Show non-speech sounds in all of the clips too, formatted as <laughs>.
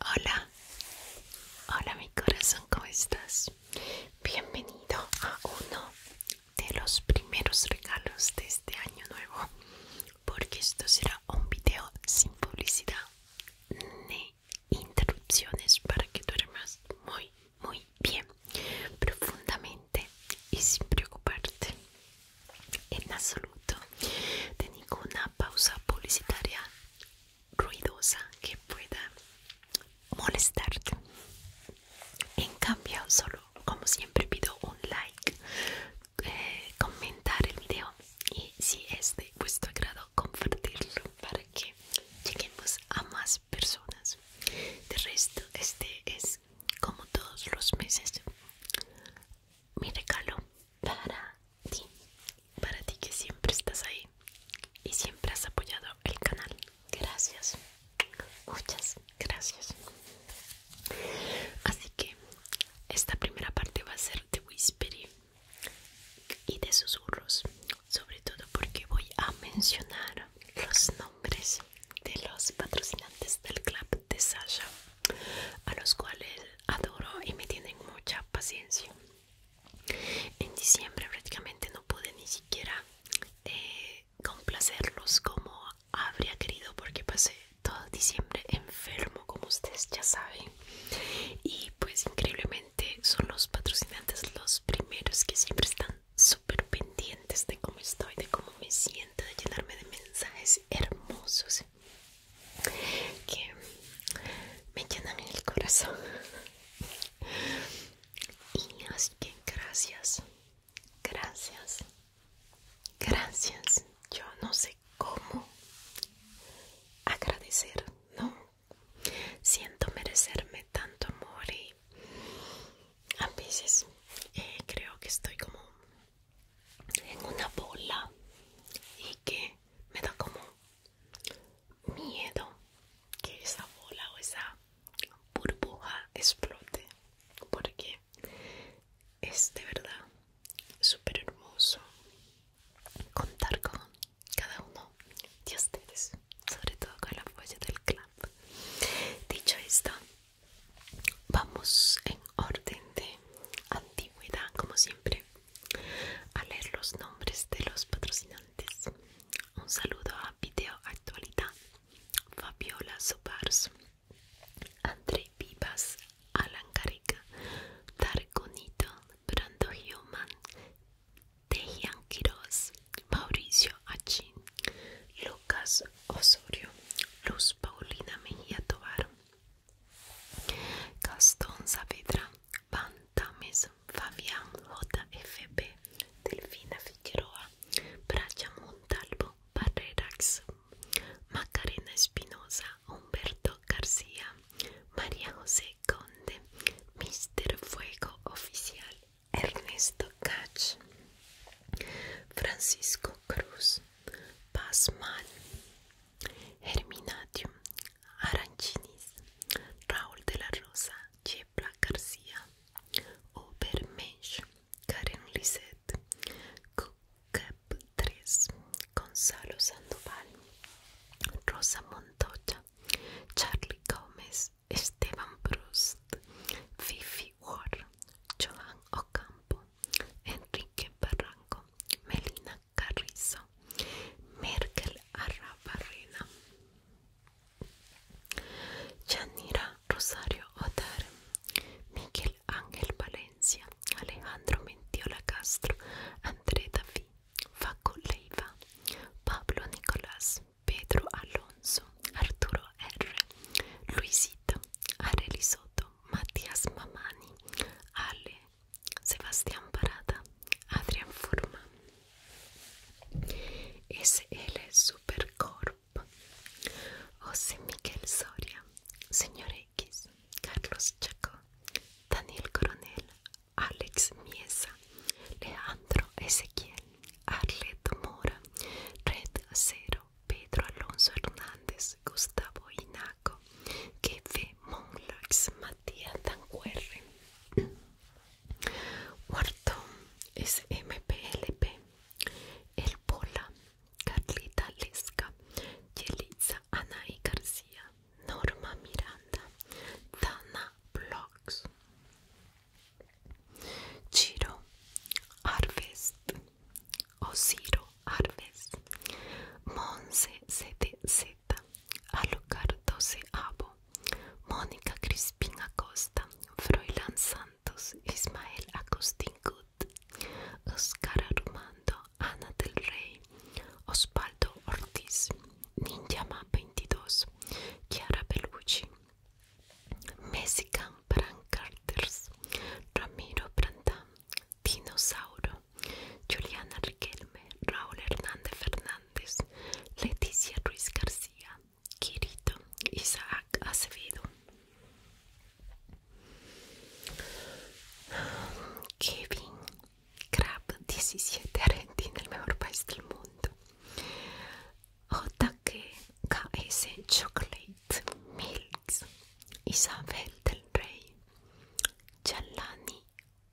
Hola, hola mi corazón, ¿cómo estás? Bienvenido a uno de los primeros regalos de este año nuevo, porque esto será un video sin publicidad ni interrupciones para que duermas muy, muy bien, profundamente y sin preocuparte en absoluto de ninguna pausa publicitaria ruidosa que pueda molestarte. En cambio, solo como siempre pido un like, eh, comentar el video y si es de vuestro agrado compartirlo para que lleguemos a más personas. De resto, este es como todos los meses mi regalo para ti, para ti que siempre estás ahí y siempre has apoyado el canal. Gracias, muchas gracias. Así que esta primera parte va a ser de whispery y de susurros, sobre todo porque voy a mencionar los nombres de los patrocinantes del club de Sasha, a los cuales adoro y me tienen mucha paciencia. En diciembre prácticamente no pude ni siquiera eh, complacerlos como habría querido porque pasé todo diciembre enfermo como ustedes ya saben y pues increíblemente son los patrocinantes los primeros que siempre están súper pendientes de cómo estoy, de cómo me siento, de llenarme de mensajes hermosos que me llenan el corazón y así que gracias gracias gracias yo no sé cómo agradecer no siento merecerme tanto amor y a veces eh, creo que estoy como en una bola y que me da como miedo que esa bola o esa burbuja explote porque es de verdad súper hermoso contar con cada uno de ustedes sobre todo con la fuerza del club dicho esto vamos en orden de antigüedad como siempre a leer los nombres de los patrocinantes. Un saludo a Video Actualidad, Fabiola Sopars, André Vivas, Alan Carica, Brando Human, Tejian Quiroz, Mauricio Achín, Lucas Osorio, Luz Paulina Mejía Tobar, Gastón Saavedra, Van Tames, Fabián JFB, Delfina Figueroa, Bracha Montalvo, Barrerax, Macarena Espinosa, Humberto García, María José Conde, Mister Fuego Oficial, Ernesto Cach, Francisco Cruz, Mal, Herminatio, Arancinis, Raúl de la Rosa Yepla García Obermesh Karen Lisette Cap 3 Gonzalo Sandoval Rosa Montoya Charlie Gomez, Esteban Prost Fifi War Joan Ocampo Enrique Barranco Melina Carrizo, Merkel Arrabarrena, Janira Rosario Otar, Miguel Ángel Valencia, Alejandro Mentiola Castro, Andrea Davi, Faco Leiva, Pablo Nicolás, Pedro Alonso, Arturo R, Luisito, Areli Matías Mamani, Ale Sebastián Parada, Adrián Furman, SL Supercorp, José Miguel Soria, Señor X, Carlos Chaco, Daniel Coronel, Alex Miesa, Leandro Ezequiel, Arlet Mora, Red Cero, Pedro Alonso Hernández, Gustavo Inaco, Kefe Monlax, tía Tancuerre. Cuarto es MPLP, El Pola, Carlita Lesca, Ana y García, Norma Miranda, Dana Blogs, Chiro o Osiro Arvest Monse Z. Alucard 12 Abo, Mónica Crispín Acosta, Froilán Santos, Ismael Agustín Gut, Oscar Armando, Ana del Rey, Osvaldo Ortiz, Ninjama 22, Chiara Bellucci, Mexican Brand Ramiro Brandán, Dinosauro, Juliana Riquelme, Raúl Hernández Fernández, Leticia Ruiz García, Kirito Isaac Acevedo. Kevin Crab 17 en el mejor país del mundo. K.S. Chocolate Milks, Isabel del Rey, Chalani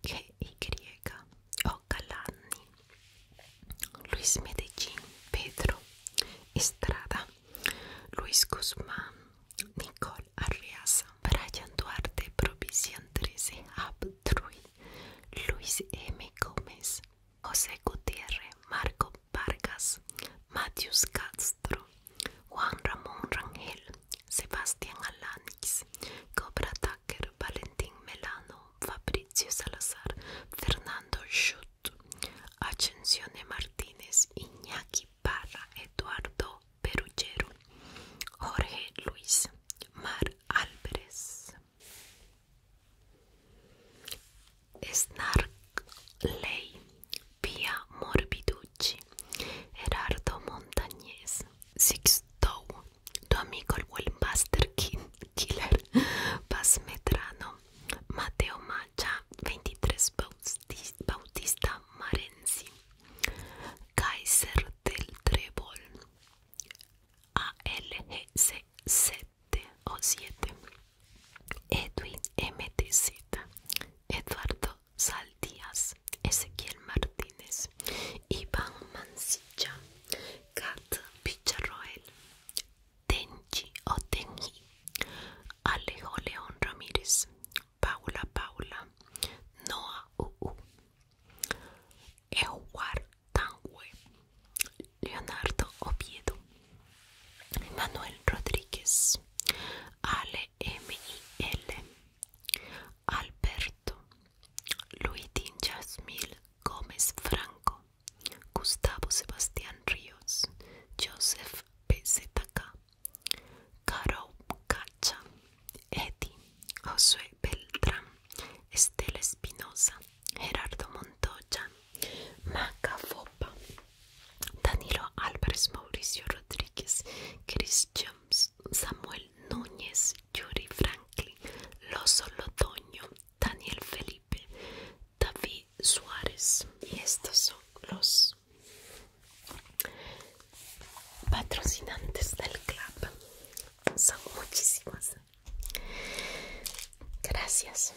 G-Y o Luis Medellín, Pedro Estrada, Luis Guzmán, Nicole Arriaza, Brian Duarte, Provisión 13, Abdruy, Luis M. Gómez, José Gutiérrez, Marco Vargas, Matius Castro, Juan Ramón Rangel, Sebastián Alanis, Cobra Tucker, Valentín Melano, Fabrizio Salazar, Fernando Schutt, Ascensione Martínez, Iñaki Parra, Eduardo Perugero, Jorge Luis, Mar Snark Ley, Pia Morbiducci, Gerardo Montañez, Tow, tu amigo el King Killer, Paz <laughs> Medrano, Mateo Macha, 23 Bautista Marenzi, Kaiser del Trebol, ALGC7 Edwin MTZ, Eduardo Saldías, Ezequiel Martínez, Iván Mancilla, Kat Picharroel, Tenchi Otenji, Alejo León Ramírez, Paula Paula, Noah U, Eowar Tangue, Leonardo Oviedo, Manuel Rodríguez, Ale M. I. L. Luis Luitín Gómez Franco, Gustavo Sebastián Ríos, Joseph PZK, Caro Cacha, Eddie, Josué Beltrán, Estela Espinosa, Gerardo Montoya, Macafopa, Fopa, Danilo Álvarez, Mauricio Rodríguez, Chris Samuel Núñez, Yuri Franklin, Loso Lotoño, Daniel Felipe, David Suárez. Y estos son los patrocinantes del club. Son muchísimas. Gracias.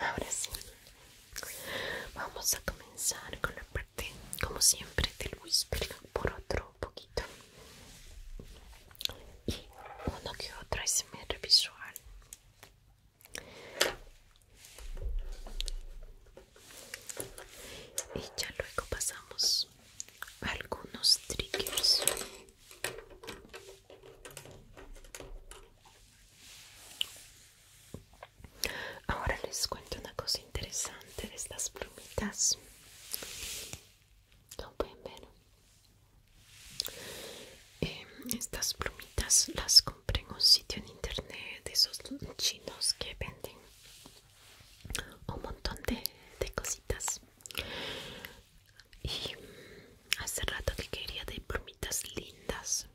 Ahora sí. Vamos a comenzar con la parte, como siempre, del whisper por otro poquito y uno que otro SMR visual. Y ya luego pasamos a algunos triggers. Ahora les cuento una cosa interesante de estas plumitas. como pueden ver? Em, estas plumitas las compré en un sitio en internet de esos chinos que venden un montón de, cositas. Y hace rato que quería de plumitas lindas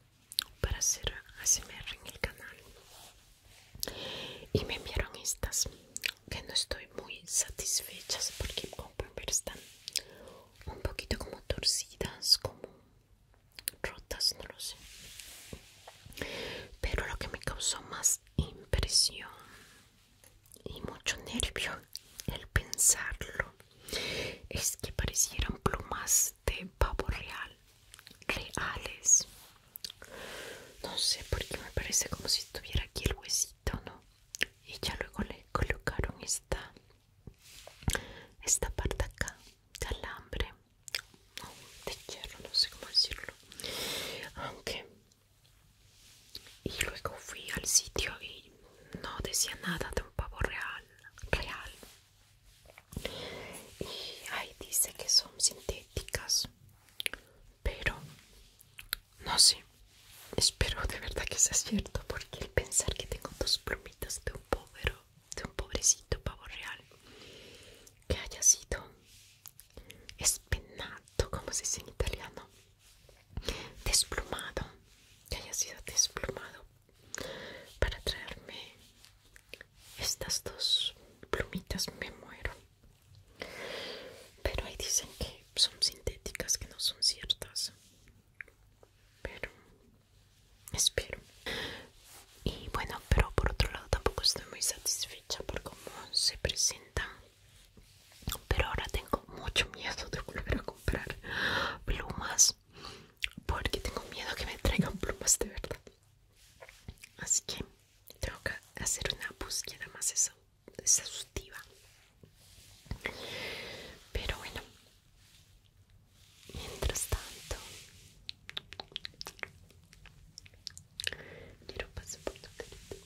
para hacer ASMR en el canal y me enviaron estas que no estoy muy satisfecha porque pueden están un poquito como torcidas como rotas no lo sé pero lo que me causó más impresión y mucho nervio el pensarlo es que parecieran plumas de pavo real reales no sé por qué me parece como si estuviera aquí el huesito, ¿no? Y ya luego le colocaron esta, esta parte acá de alambre, no, de hierro, no sé cómo decirlo. Aunque, y luego fui al sitio y no decía nada de un pavo real, real, y ahí dice que son sintéticas pero no sé espero de verdad que sea cierto porque el pensar que tengo dos plumitas de un pobre de un pobrecito pavo real que haya sido espenato como se dice en italiano desplumado que haya sido desplumado para traerme estas dos plumitas me muero. Pero ahí dicen que son sintéticas, que no son ciertas. Pero espero. Y bueno, pero por otro lado tampoco estoy muy satisfecha por cómo se presentan. Pero ahora tengo mucho miedo de volver a comprar plumas. Porque tengo miedo que me traigan plumas de verdad. Así que tengo que hacer una búsqueda más exhaustiva pero bueno mientras tanto quiero pasar por tu carita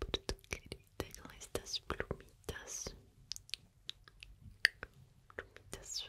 por tu carita con estas plumitas plumitas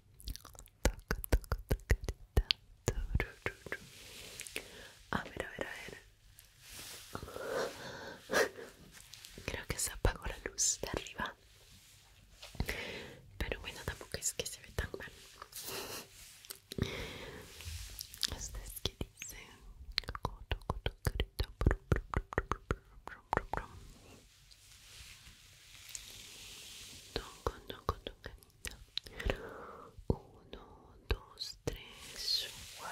Toco, toco, tocarita. A ver, a ver, a ver. <laughs> Creo que se apagó la luz de arriba. Pero bueno, tampoco es que se ve tan mal. ¿Ustedes qué dice Toco, toco, tocarita. Brum, brum, brum, brum, brum, brum, brum. Toco, toco, tocadita. Uno, dos, tres. Uno,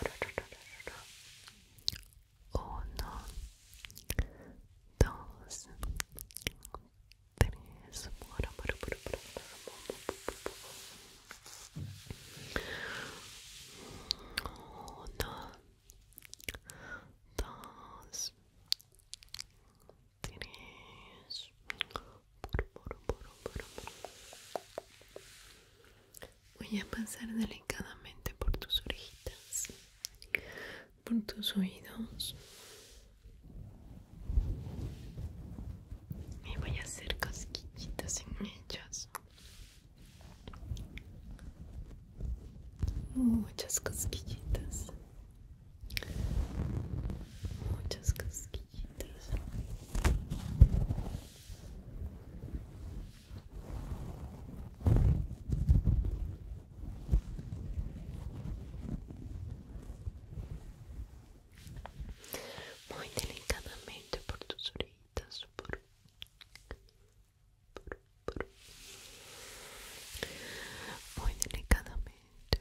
dos, tres. Uno, dos, Tienes Voy a pasar delicadamente por tus orejitas, por tus oídos y voy a hacer casquillitas en ellos Muchas cosquillitas muchas casquillitas muy delicadamente por tus orejitas por muy delicadamente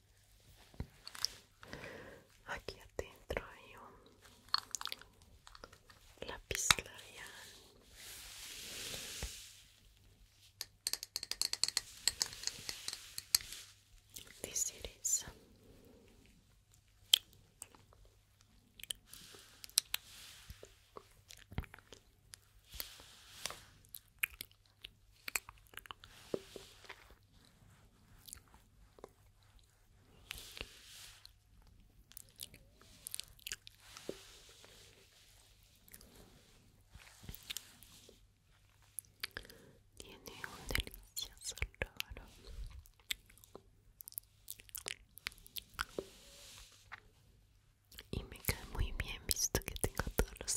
Aquí adentro hay un lápiz labial. de it tiene un delicioso olor. Y me cae muy bien visto que tengo todos los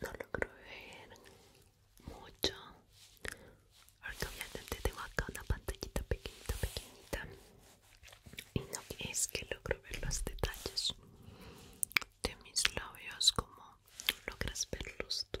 No logro ver mucho. Ahora obviamente tengo acá una pantallita pequeñita, pequeñita. Y no es que logro ver los detalles de mis labios como logras verlos tú.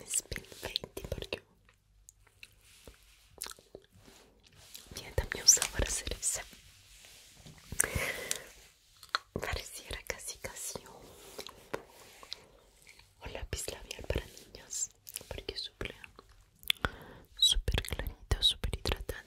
un spin porque tiene también un sabor a cereza pareciera casi casi un, lápiz labial para niñas porque suple súper clarito, súper hidratante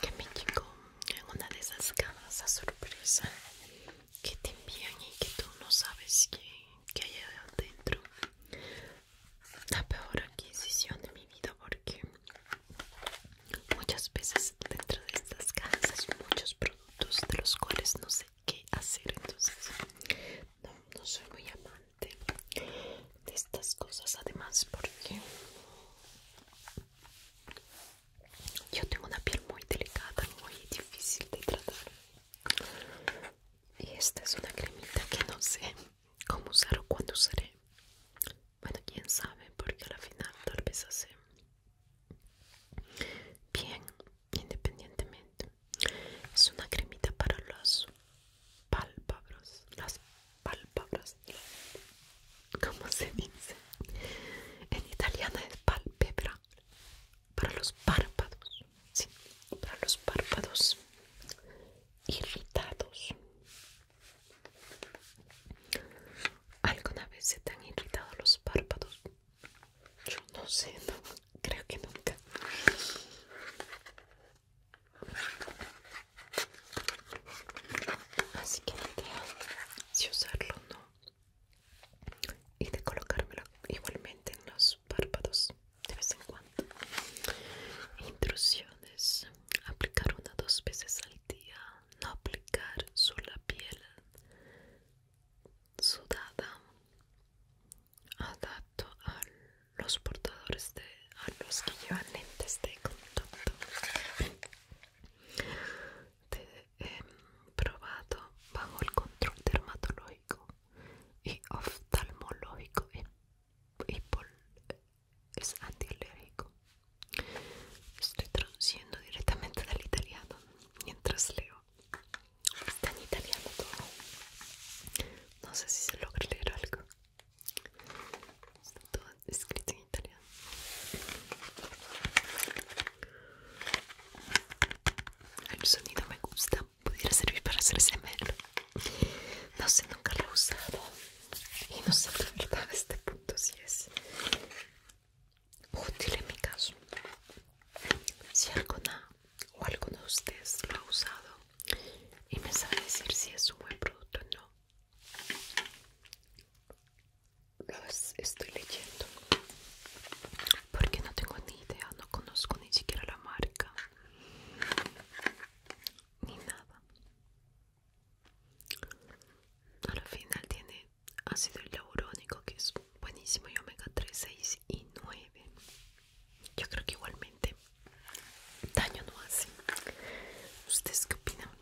que me en una de esas cajas a sorpresa que te envían y que tú no sabes qué hay adentro. La peor adquisición de mi vida porque muchas veces dentro de estas cajas muchos productos de los cuales no sé qué hacer. Entonces no, no soy muy amante de estas cosas además porque yo tengo una piel muy delicada, muy difícil de tratar. Y esta es una cremita que no sé cómo usar o cuándo usaré. Bueno, quién sabe, porque la final tal vez hace bien, independientemente. Es una cremita para los pálpabras, las pálpabras, ¿cómo se dice? En italiano es palpebra, para los párpados, sí, para los párpados irritados. ¿Alguna vez se te han irritado los párpados? Yo no sé, creo que nunca. Así que la si usarlo o no y de colocármelo igualmente en los párpados de vez en cuando. Intrusiones. Aplicar una o dos veces al día. No aplicar sobre la piel sudada. Adapto a los portadores de a ah, los que llevan lentes de contacto te he em, probado bajo el control dermatológico y oftalmológico es antialérgico estoy traduciendo directamente del italiano mientras leo está en italiano todo no sé si se logra leer algo Está todo escrito en italiano. El sonido me gusta. Pudiera servir para hacer SMR. No sé, nunca lo he usado. Y no sé la verdad a este punto si es útil en mi caso. Si alguna o alguno de ustedes lo ha usado y me sabe decir si es un buen producto o no, los estoy leyendo porque no tengo ni idea, no conozco ni siquiera la marca ni nada. Al final tiene ácido hialurónico que es buenísimo y omega 3, 6 y 9. Yo creo que igualmente daño no hace. ¿Ustedes qué opinan?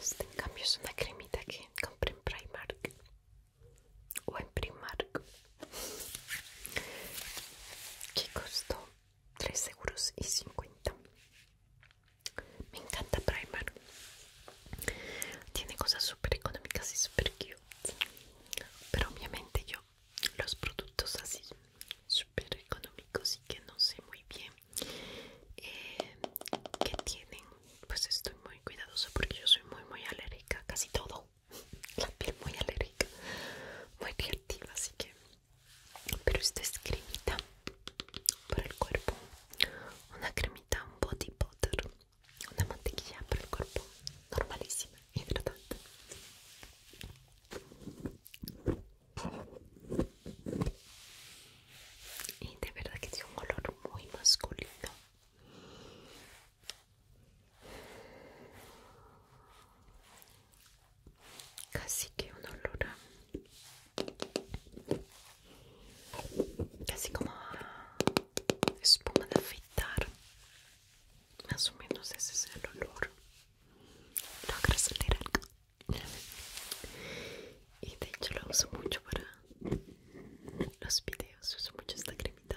Este en cambio es una cremita que compré en Primark o en Primark que costó 3 euros y 50 me encanta Primark tiene cosas súper económicas y súper cute pero obviamente yo los productos así súper económicos y que no sé muy bien eh, que tienen pues estoy muy cuidadosa porque yo soy muy muy alérgica a casi todo la piel muy alérgica, muy reactiva, así que... Pero esto es cremita para el cuerpo, una cremita, body butter, una mantequilla para el cuerpo, normalísima, hidratante. Y de verdad que tiene un olor muy masculino Casi que un olor Casi como espuma de afeitar. Más o menos ese es el olor. Logra salir algo. Y de hecho lo uso mucho para los videos. Uso mucho esta cremita.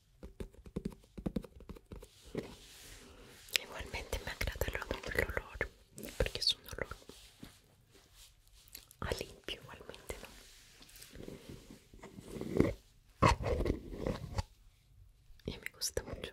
Igualmente me agrada el olor porque es un olor a limpio igualmente, ¿no? Y me gusta mucho.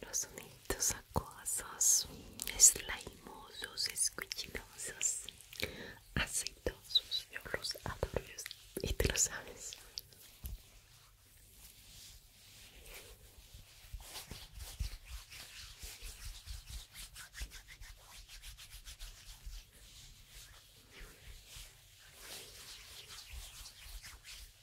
Los sonidos acosos slimosos, escuchinosos, aceitosos, yo los adoro y te lo sabes.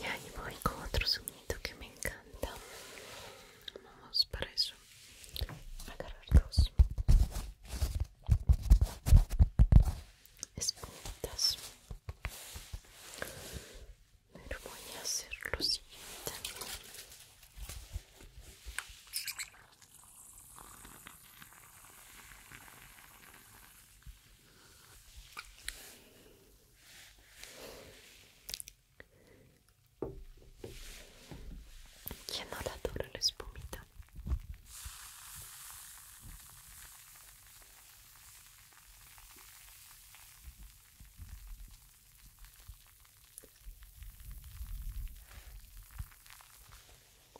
Y ahí voy con otro sonido que me encanta. Vamos para eso. Agarrar dos Pero voy a hacer lo siguiente. Ya no la dura la espumita.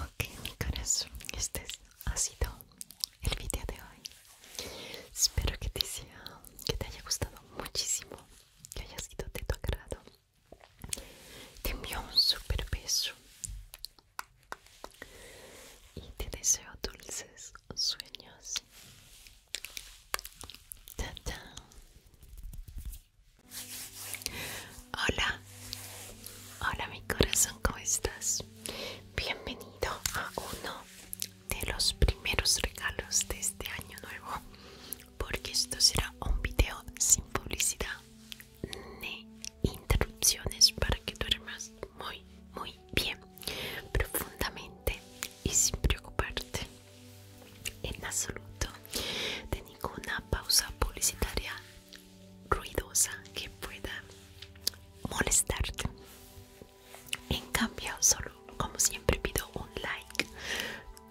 Ok, mi este ha sido el video de hoy. Espero que te, sea, que te haya gustado muchísimo, que haya sido de tu agrado. Te envío un super beso y te deseo dulces sueños. Hola, hola mi corazón, ¿cómo estás? Bienvenido a uno de los primeros regalos de este año nuevo, porque esto será un video sin publicidad ni interrupciones para que duermas muy, muy bien, profundamente y sin preocuparte en absoluto de ninguna pausa publicitaria ruidosa que pueda molestarte. En cambio, solo como siempre pido un like,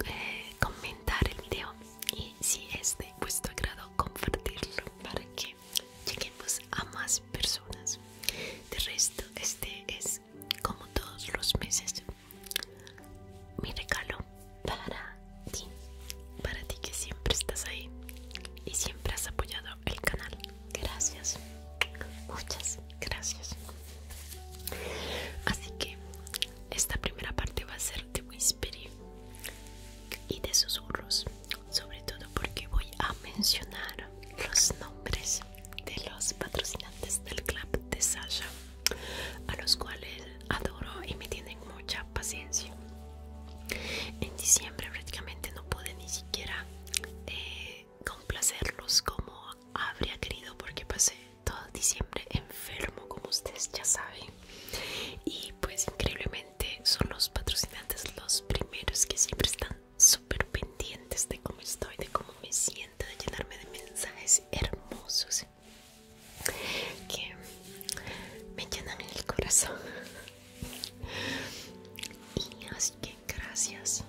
eh, comentar el video y si es de vuestro agrado compartirlo para que lleguemos a más personas de resto este es como todos los meses mi regalo para ti para ti que siempre estás ahí y siempre has apoyado el canal gracias muchas gracias así que esta primera parte va a ser de whispering y de susurros, sobre todo porque voy a mencionar los nombres de los patrocinantes del club de Sasha, a los cuales adoro y me tienen mucha paciencia. En diciembre prácticamente no pude ni siquiera eh, complacerlos como habría querido porque pasé todo diciembre enfermo como ustedes ya saben y pues increíblemente son los patrocinantes los primeros que siempre están súper pendientes de cómo estoy, de cómo me siento, de llenarme de mensajes hermosos que me llenan el corazón y así que gracias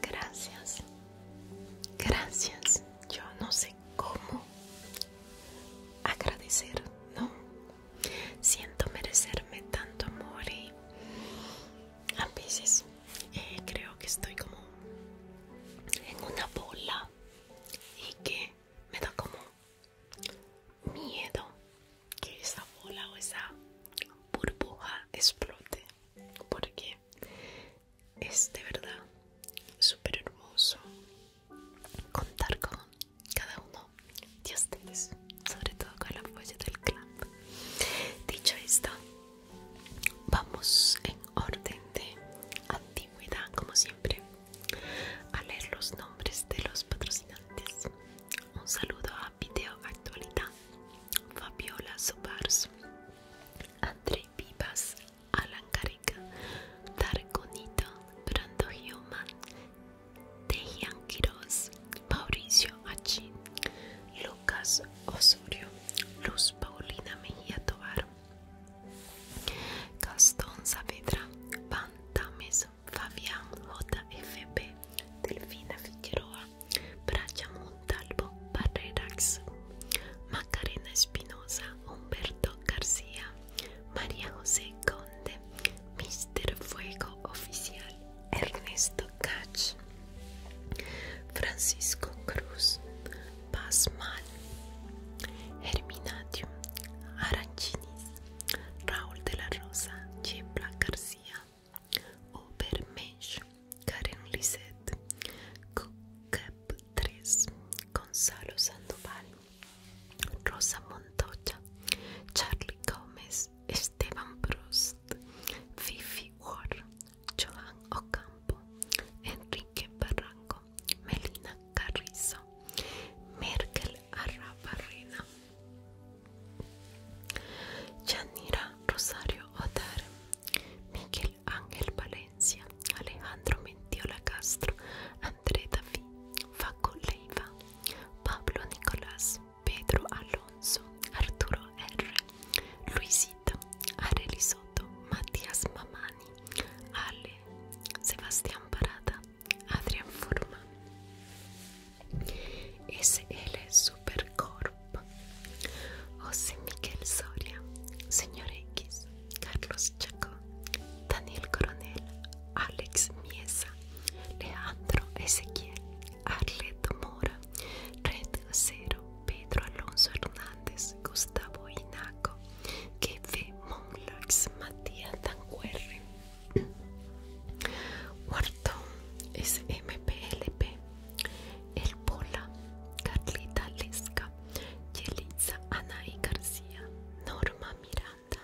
gracias gracias yo no sé como agradecer, ¿no? Siento merecerme tanto amor y a veces eh, creo que estoy como en una bola y que me da como miedo que esa bola o esa burbuja explote porque es de verdad súper hermoso contar con cada uno de ustedes, sobre todo con la apoyo del club Dicho esto, vamos en orden de antigüedad, como siempre, a leer los nombres de los patrocinantes. Un saludo a Video Actualidad, Fabiola Subars André Vivas Alan carica Tarconito, Brando Human, Tejian Quiroz, Mauricio Achi, Lucas Osorio, Luz Paulina Mejía Tovar, Gastón Saavedra, Pantames, Fabián JFB, Delfina Figueroa, Bracha Montalvo, Barrerax, Macarena Espinosa, Humberto García, María José Conde, Mister Fuego Oficial, Ernesto Cach, Francisco Cruz, Pasmal, Herminatium, Aranchinis, Raúl de la Rosa, Chepla García, obermech, Karen Lisette, Cup 3, Gonzalo Sandoval, Rosa Montoya, Charlie Gómez, Esteban Prost, Fifi Ward, Joan Ocampo, Enrique Barranco, Melina Carrizo, Merkel Arrabarrena, Yanira Rosario Otar, Miguel Ángel Valencia, Alejandro Mentiola Castro, Andrea David, Faco Pablo Nicolás, Pedro Alonso, Arturo R, Luisito, Areli Soto, Matías Mamani, Ale, Sebastián Parada, Adrián Forman, SL Supercorp, José Miguel Soria, Señor X, Carlos Chaco, Daniel Coronel, Alex Miesa, Leandro Ezequiel, Arleto Mora, Red Cero, Pedro Alonso Hernández, Gustavo Inaco, Kefe Monlax, Matías Tancuerre, es SMPLP, El Pola, Carlita Lesca, Ana y García, Norma Miranda,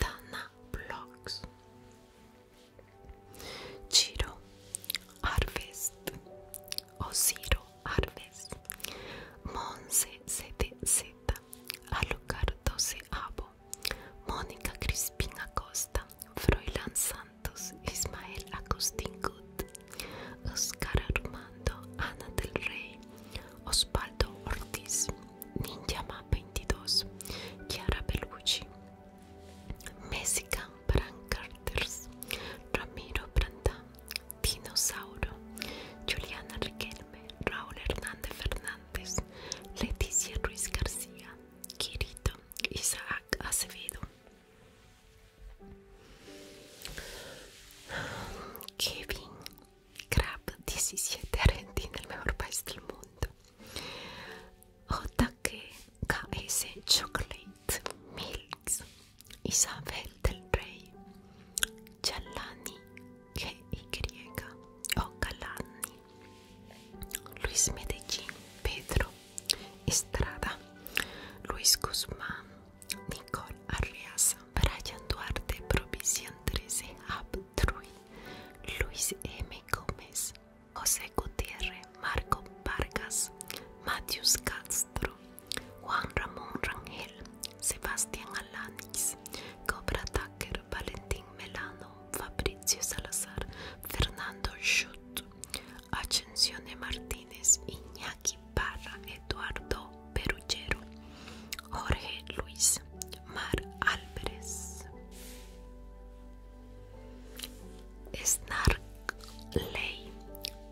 Dana Blocks, Chiro Arvest, Osiro Harvest, Monse Z, Alucar 12 Abo, Mónica Crispín Acosta, Froilan Santos, Ismael Agustín Gut, Oscar Armando, Ana del Rey, Osvaldo Ortiz, Ninjama 22, Chiara Bellucci, Mexican Brancarters, Ramiro Branta, Dinosauro, Juliana Riquelme, Raúl Hernández Fernández, Leticia Ruiz García, Quirito, Isaac Acevedo. Kevin Crab 17 Argentina, el mejor país del mundo. K.S. Chocolate Milks. Isabel del Rey. Giallani GY. Ocalani. Luis Medellín. Pedro Estrada. Luis Guzmán. Nicole Arias. Brian Duarte, Provisión 13, Abtrui, Luis M. Gómez, José Gutiérrez, Marco Vargas, Matius Castro, Juan Ramón Rangel, Sebastián Alanis, Cobra Tucker, Valentín Melano, Fabricio Salazar, Fernando Schutt, Ascensione Martínez, Iñaki Parra, Eduardo Perugero, Jorge Luis Mar Álvarez, Ley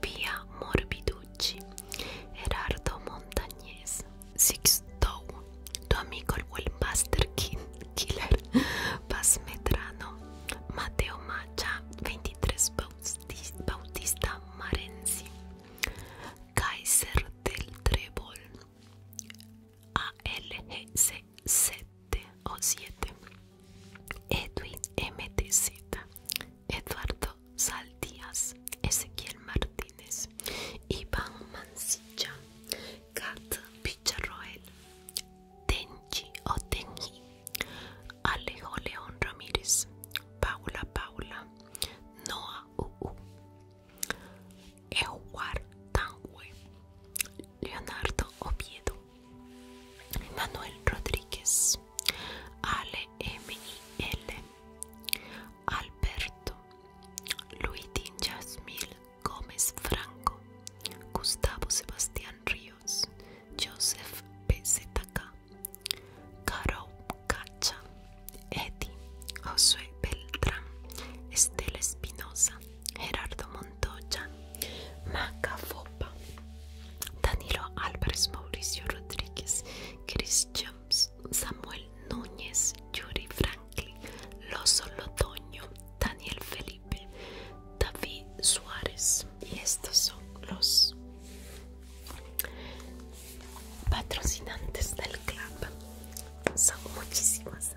Pia Morbiducci, Gerardo Montañez, Sixto, tu amigo el Wildmaster Killer, Paz Medrano, Mateo Macha, 23 Bautista Marenzi, Kaiser del Trébol ALGC7 o 7 Edwin MTZ Eduardo Saldías Ezequiel Martínez Iván Mancilla Kat Picharroel Tenchi o Alejo León Ramírez Paula Paula Noah Uu Tangue, Leonardo Oviedo, Manuel Rodríguez, Ale M. L. Alberto, Luis Yasmil Gómez Franco, Gustavo Sebastián Ríos, Joseph PZK, Caro Cacha, Eddie, Josué Beltrán, Estela Espinosa, Gerardo Montoya, Maca Fopa, Danilo Álvarez, Mauricio Rodríguez, Chris Jones, Samuel Núñez, Yuri Franklin, Lozo Lotoño, Daniel Felipe, David Suárez. Y estos son los patrocinantes del club son muchísimas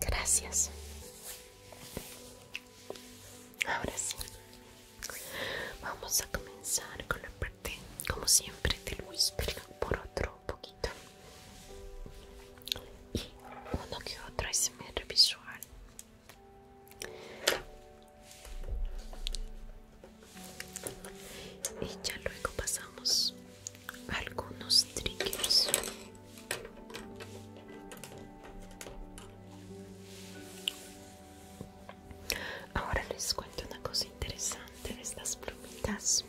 gracias ahora sí vamos a comenzar con la parte como siempre del whisper por otro poquito y uno que otro mi visual y ya luego pasamos a algunos triggers ahora les cuento una cosa interesante de estas plumitas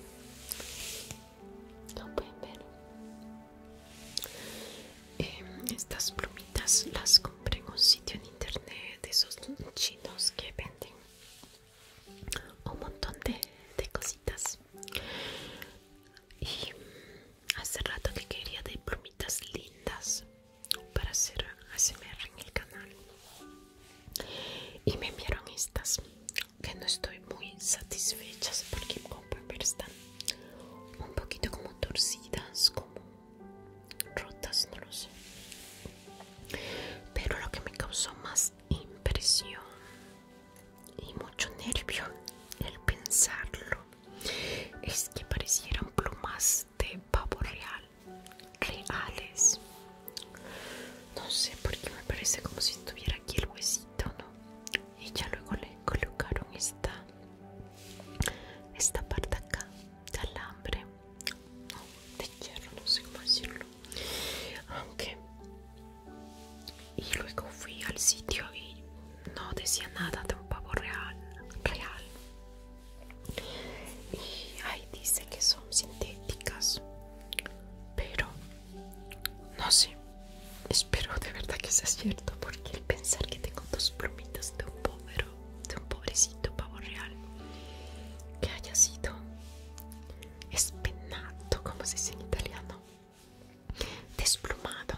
no pueden ver em, estas plumitas las compré en un sitio en internet de esos chinos que venden un montón de, cositas y hace rato que quería de plumitas lindas para hacer ASMR en el canal y me enviaron estas que no estoy muy satisfechas porque como ver están un poquito como torcidas como rotas no lo sé pero lo que me causó más impresión y mucho nervio el pensarlo es que parecieran plumas de pavo real, reales. No sé por qué me parece como si estuviera aquí el huesito, ¿no? Y ya luego le colocaron esta, esta parte acá de alambre de hierro, no sé cómo decirlo. Aunque. Y luego fui al sitio y no decía nada de un pavo real. real. Y ahí dice que son sintéticas. Pero. No sé. Espero de verdad que sea cierto. Porque el pensar que tengo dos plumitas de un pobre, de un pobrecito pavo real que haya sido espinato como se dice en italiano, desplumado,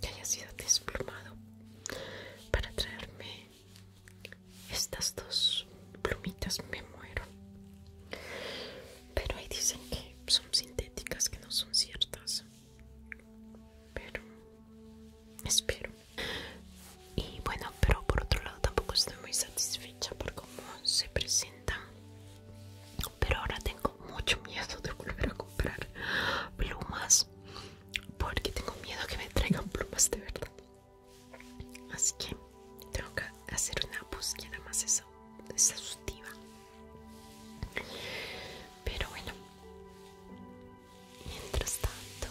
que haya sido desplumado, para traerme estas dos plumitas, me muero. Pero ahí dicen que son sintéticas, que no son ciertas. Pero espero y bueno pero por otro lado tampoco estoy muy satisfecha por cómo se presentan pero ahora tengo mucho miedo de volver a comprar plumas porque tengo miedo que me traigan plumas de verdad así que tengo que hacer una búsqueda más exhaustiva pero bueno mientras tanto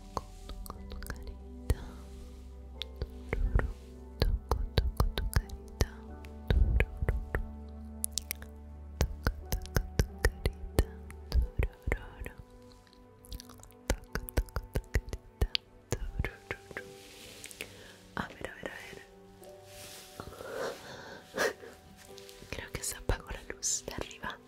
toco, toco carita. ver, a ver, a ver. Creo que se apagó la luz de arriba.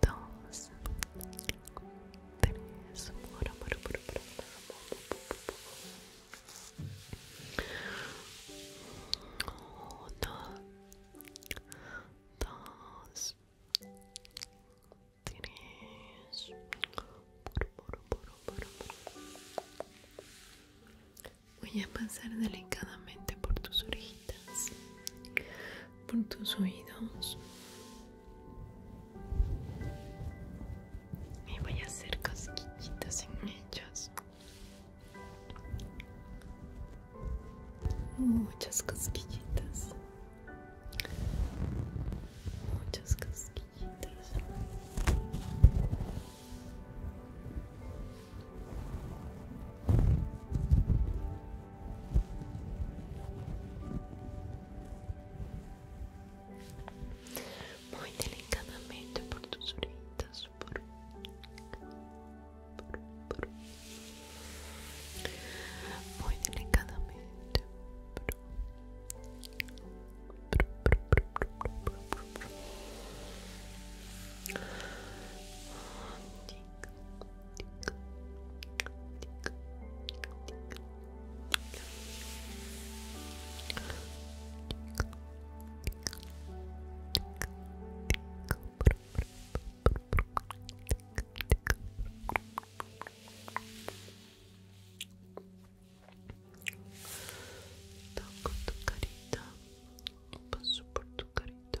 dos, tres, Voy a pasar delicadamente por tus orejas por tus oídos. Y voy a hacer casquillitas en ellos. Muchas casquillitas, Muchas casquillitas Muito delicadamente por tus orejitas, Muito delicadamente. Toco tu carita, passo por tu carita,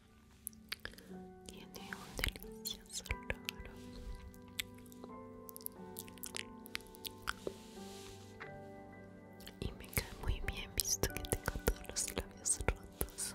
Tiene un delicioso olor y me cae muy bien visto que tengo todos los labios rotos.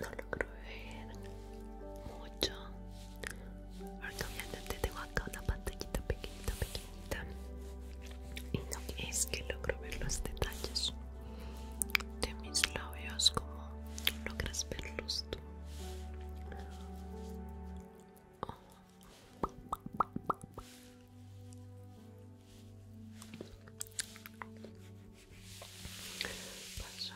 no logro ver mucho al obviamente tengo acá una pantallita pequeñita pequeñita y no es que logro ver los detalles de mis labios como logras verlos tú oh.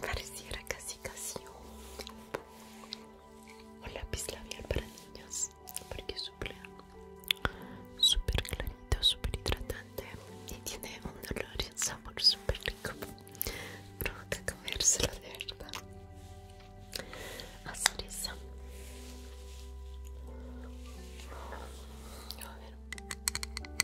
Pareciera casi casi un, lápiz labial para niños porque suplea súper clarito, súper hidratante y tiene un olor y un sabor súper rico. Provoca comérselo de verdad. a A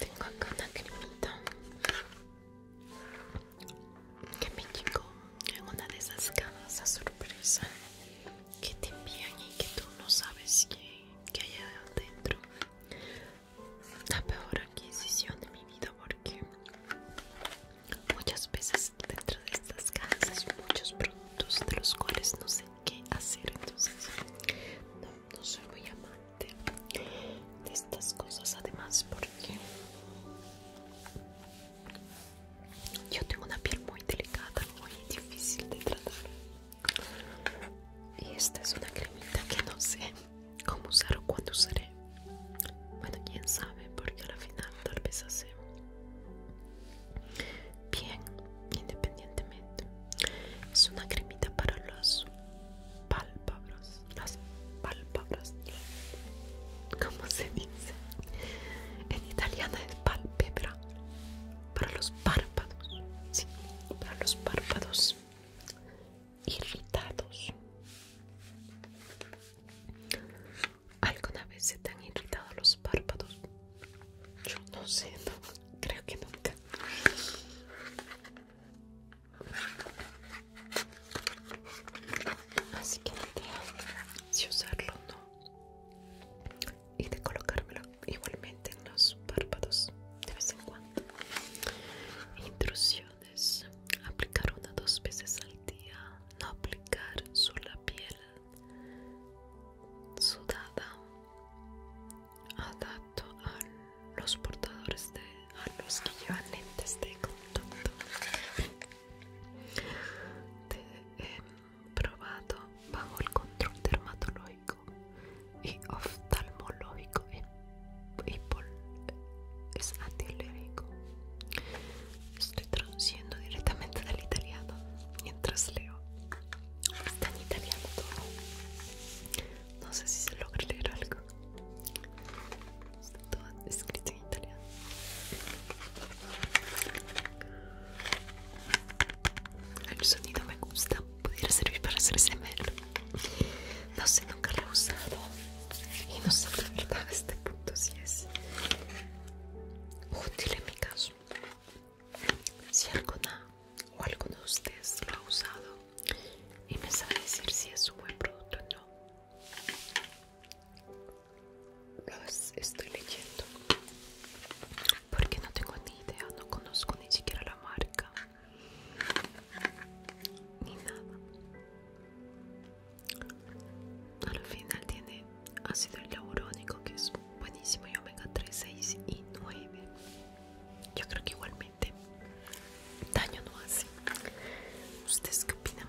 Tengo acá una cremita que me llegó en una de esas cajas a sorpresa que te envían y que tú no sabes qué que hay adentro la peor adquisición de mi vida porque muchas veces dentro de estas casas hay muchos productos de los cuales no sé qué hacer entonces no, soy muy amante de estas cosas además porque yo tengo una piel muy delicada muy difícil de tratar y esta es una cremita que no sé cómo usar o cuándo usaré. Bueno, quién sabe, porque la final tal vez hace bien, independientemente. Es una cremita para los pálpebras, las ¿cómo se dice? En italiano es palpebra, para los párpados, sí, para los párpados irritados. ¿Alguna vez se te han irritado los párpados? Yo no sé, creo que nunca. Así que no tengo si usarlo no. Y de colocármelo igualmente en los párpados de vez en cuando. Intrusión aplicar una o dos veces al día no aplicar sobre la piel sudada adapto a los portadores de a los que llevan lentes de contacto probado bajo el control dermatológico y oftalmológico Apple es antialérgico. Estoy traduciendo directamente del italiano mientras leo. Está en italiano No sé si se logra leer algo. Está todo escrito en italiano. El sonido me gusta. Pudiera servir para hacer SMR. No sé, nunca lo he usado. Y no sé la verdad a este punto si es útil en mi caso. Si alguna o alguno de ustedes lo ha usado y me sabe decir si es un buen producto o no. Los estoy leyendo porque no tengo ni idea, no conozco ni siquiera la marca ni nada. Al final tiene ácido laurónico que es buenísimo y omega 3, 6 y 9. Yo creo que igualmente daño no hace. ¿Ustedes qué opinan?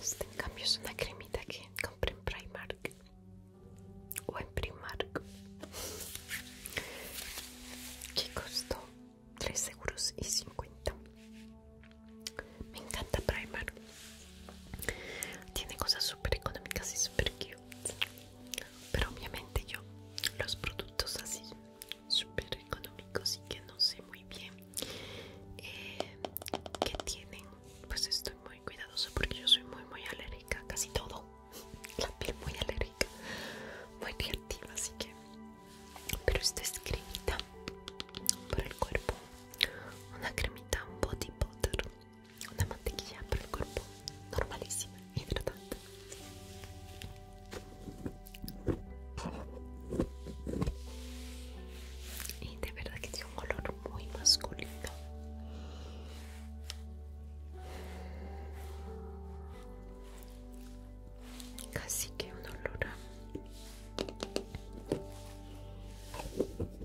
Este en cambio es una cremita que compré en Primark o en Primark que costó 3 euros y me encanta Primark tiene cosas super económicas y super cute pero obviamente yo los productos así super económicos y que no sé muy bien eh, qué que tienen pues estoy muy cuidadosa porque yo soy muy muy alérgica casi todo <laughs> la piel muy alérgica muy reactiva así que pero esta es cremita para el cuerpo una cremita un body butter una mantequilla para el cuerpo normalísima y hidratante y de verdad que tiene un olor muy masculino casi que un olor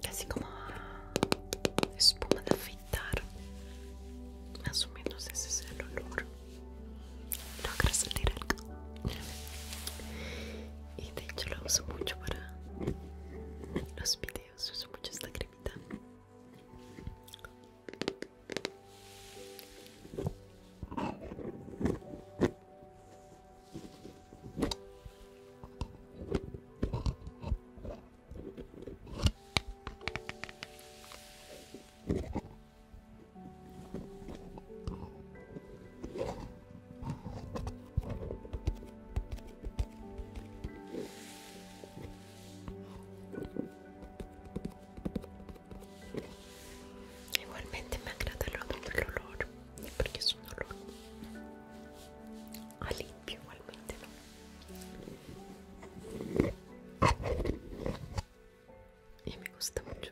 casi como a espuma de más o menos ese es el olor logra salir algo y de hecho lo uso mucho para los videos uso mucho esta cremita Igualmente me agrada el olor, porque es un olor limpio igualmente, ¿no? y me gusta mucho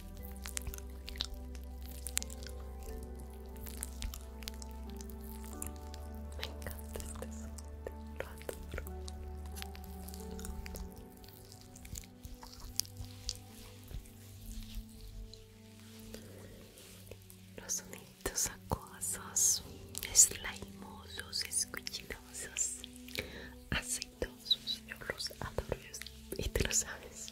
Me encanta este sonido, lo adoro. Los sonidos acuosos, slimosos, escuchinosos, aceitosos, yo los adoro y te lo sabes.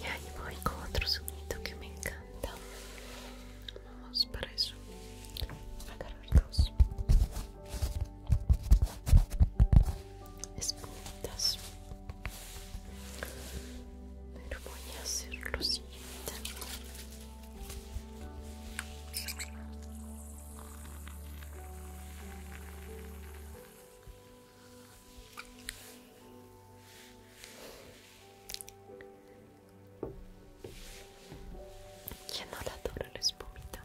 Y ahí voy con otro sonido que me encanta. Vamos para eso. Agarrar dos espumitas pero voy a hacer lo siguiente no la dura la espumita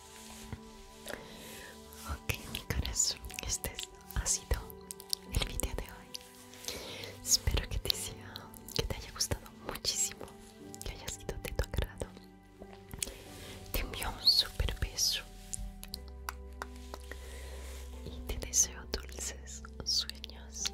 Ok mi corazón, este ha sido el video de hoy. Espero que te, que te haya gustado muchísimo, que haya sido de tu agrado. Te envío un super beso y te deseo dulces sueños.